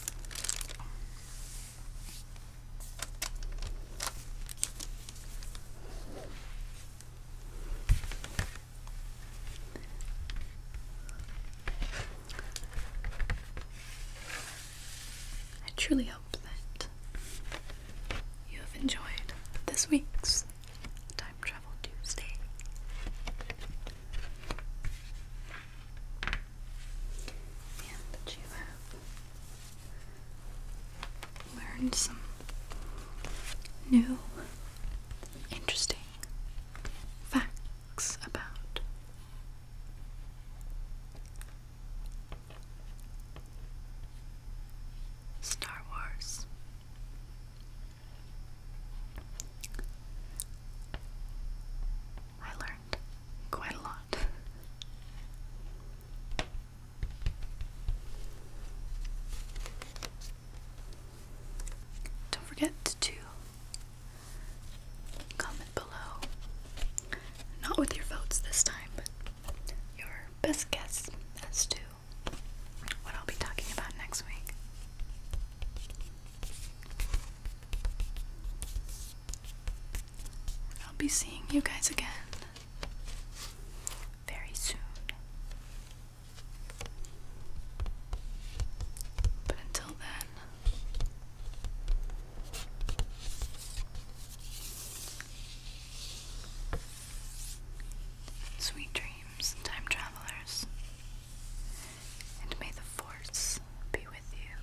I truly hope that you have enjoyed this week's Time Travel Tuesday. And that you learned some new, interesting facts about Star Wars. I learned quite a lot. Don't forget to comment below. Not with your votes this time, but your best guess as to what I'll be talking about next week. I'll be seeing you guys again very soon. But until then, sweet dreams dreams, time travelers, and may the force be with you.